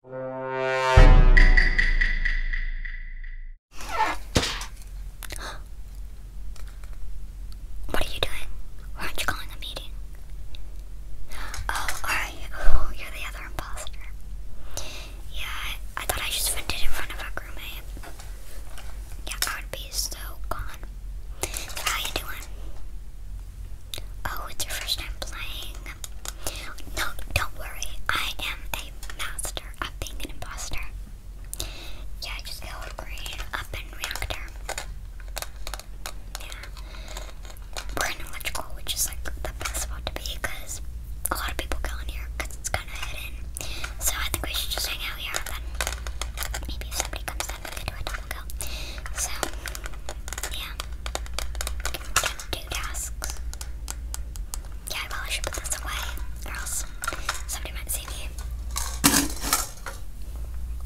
What are you doing? Why aren't you calling a meeting? Oh, oh, you're the other imposter. Yeah, I, thought I just vented in front of a roommate. Yeah, I would be so gone. So how you doing? Oh, it's your first time playing. No, don't worry. I am a master of being an imposter. Yeah, just go up in reactor. Yeah. We're in electrical, which is like the best spot to be because a lot of people go in here because it's kind of hidden. So I think we should just hang out here then maybe if somebody comes in, we can do a double kill. So, yeah do tasks. Yeah, I probably should put this away, or else somebody might see me.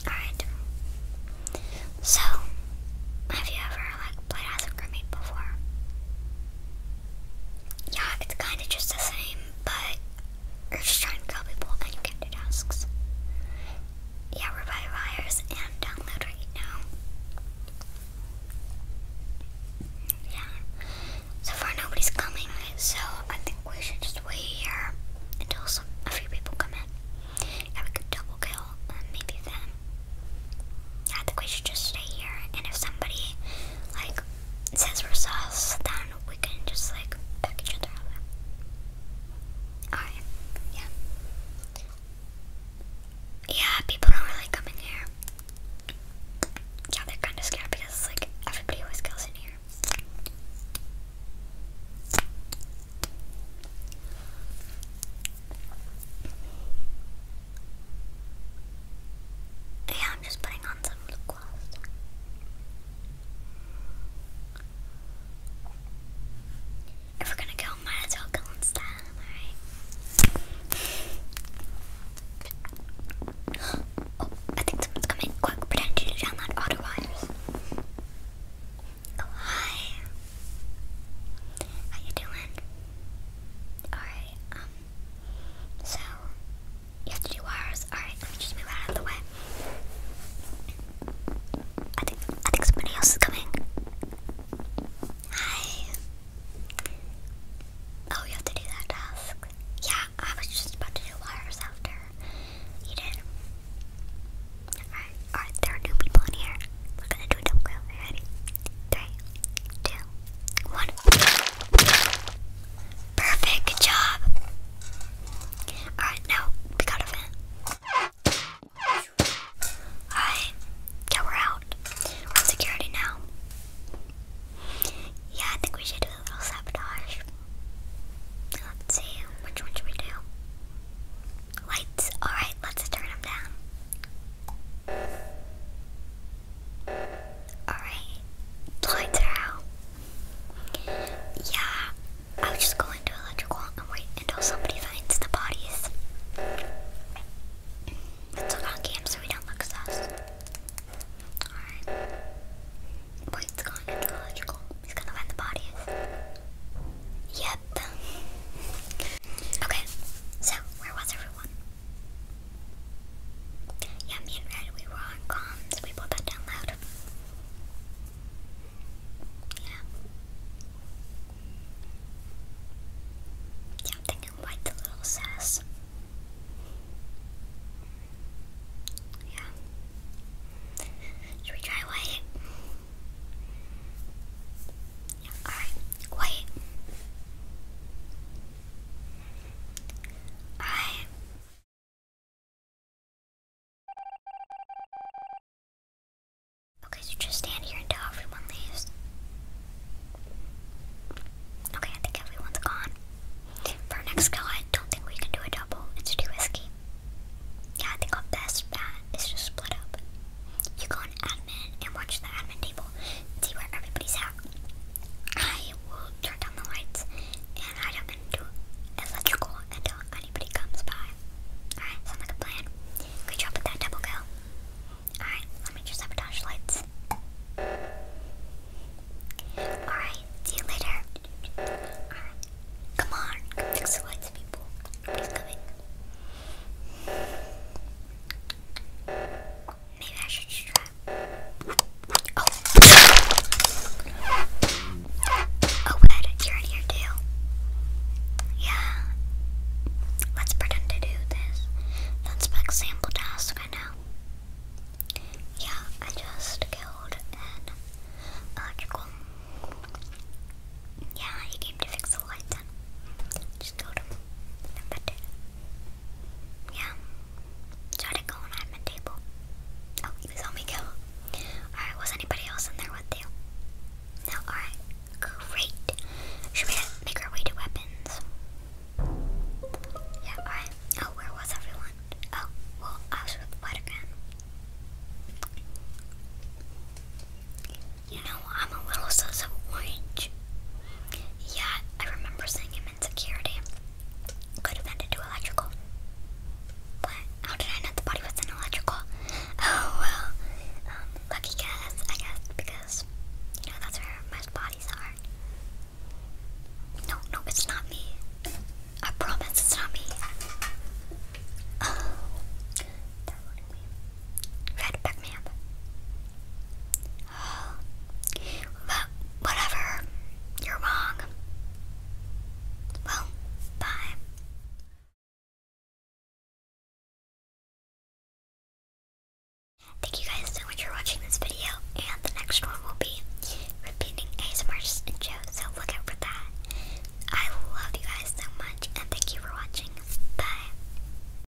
Alright. So, have you ever like played as a crewmate before? Yeah, it's kind of just the same, but you're just trying to kill people and you can do tasks yeah, we're by wires and download right now. Yeah. So far nobody's coming, so I think we should just wait here until some a few people come in. Yeah, we could double kill uh, maybe them. I think we should just stay here, and if somebody like says we then we can just like pick each other Oh, yeah. yeah. Yeah, people don't really come in here. Yeah, they're kind of scared because, like, everybody always goes in here. Yeah, I'm just putting on some lip gloss we're gonna go, might as well style, alright? oh, I think someone's coming. Quick, pretend you download auto wires. Oh, hi. How you doing? Alright, um, so, you have to do wires. Alright, let me just move out of the way. I think I think somebody else is coming. Hi. Oh, you have to do that task. Yeah, I was just about to do wires after you did. Alright, alright, there are new people in here. We're gonna do a double ready? Three, two, one. Perfect job. Alright, now we got a vent. Alright, yeah, we're out. We're on security now. Yeah, I think we should do a little sabotage. Let's see, which one should we do? Lights, alright, let's turn them down. Alright, lights Yeah, i was just going to electrical and wait until somebody finds the bodies. Let's look on so we don't look sus. Alright. Boyd's going into electrical. He's gonna find the bodies. Yep. Okay, so where was everyone? Yeah, me and Red, we were on comms. We both got down loud. Yeah. Yeah, thinking like the little sass. Yeah. Should we try white? Yeah, alright. White. Alright. Okay, so just stand here until everyone leaves. Okay, I think everyone's gone. For next kill, I don't think we can do a double. It's too risky. Yeah, I think our best bet is to split up. You go on admin and watch the admin table see where everybody's at. I will turn down the lights and I don't into electrical until anybody comes by. Alright, sounds like a plan. Good job with that double kill. Alright, let me just sabotage lights. Alright, see you later. Alright. Come on, fix the lights, people. Nobody's coming. Oh. oh yeah. Let's pretend to do this. That's back sample task, right now. Yeah, I just killed electrical. Yeah, he came to fix the lights Just killed him. And then yeah. Try to go my table. Oh, you saw me go. Alright, was anybody else in there with you? No, alright. Great. Should we make our way to weapons? Yeah, alright. Oh, where was everyone? Oh, well, I was with Buttergun. You know, I'm a little sus of orange. Yeah, I remember seeing him Security Could have been into electrical. But how did I know the body was in electrical? Oh well. Um, lucky guess, I guess, because you know that's where most bodies are. No, no, it's not me. I promise it's not me. Oh, that wouldn't be. Red, back me up but whatever. You're wrong. Well, bye. Thank you guys so much for watching this video, and the next one will be repeating ASMR's intro, so look out for that. I love you guys so much, and thank you for watching. Bye.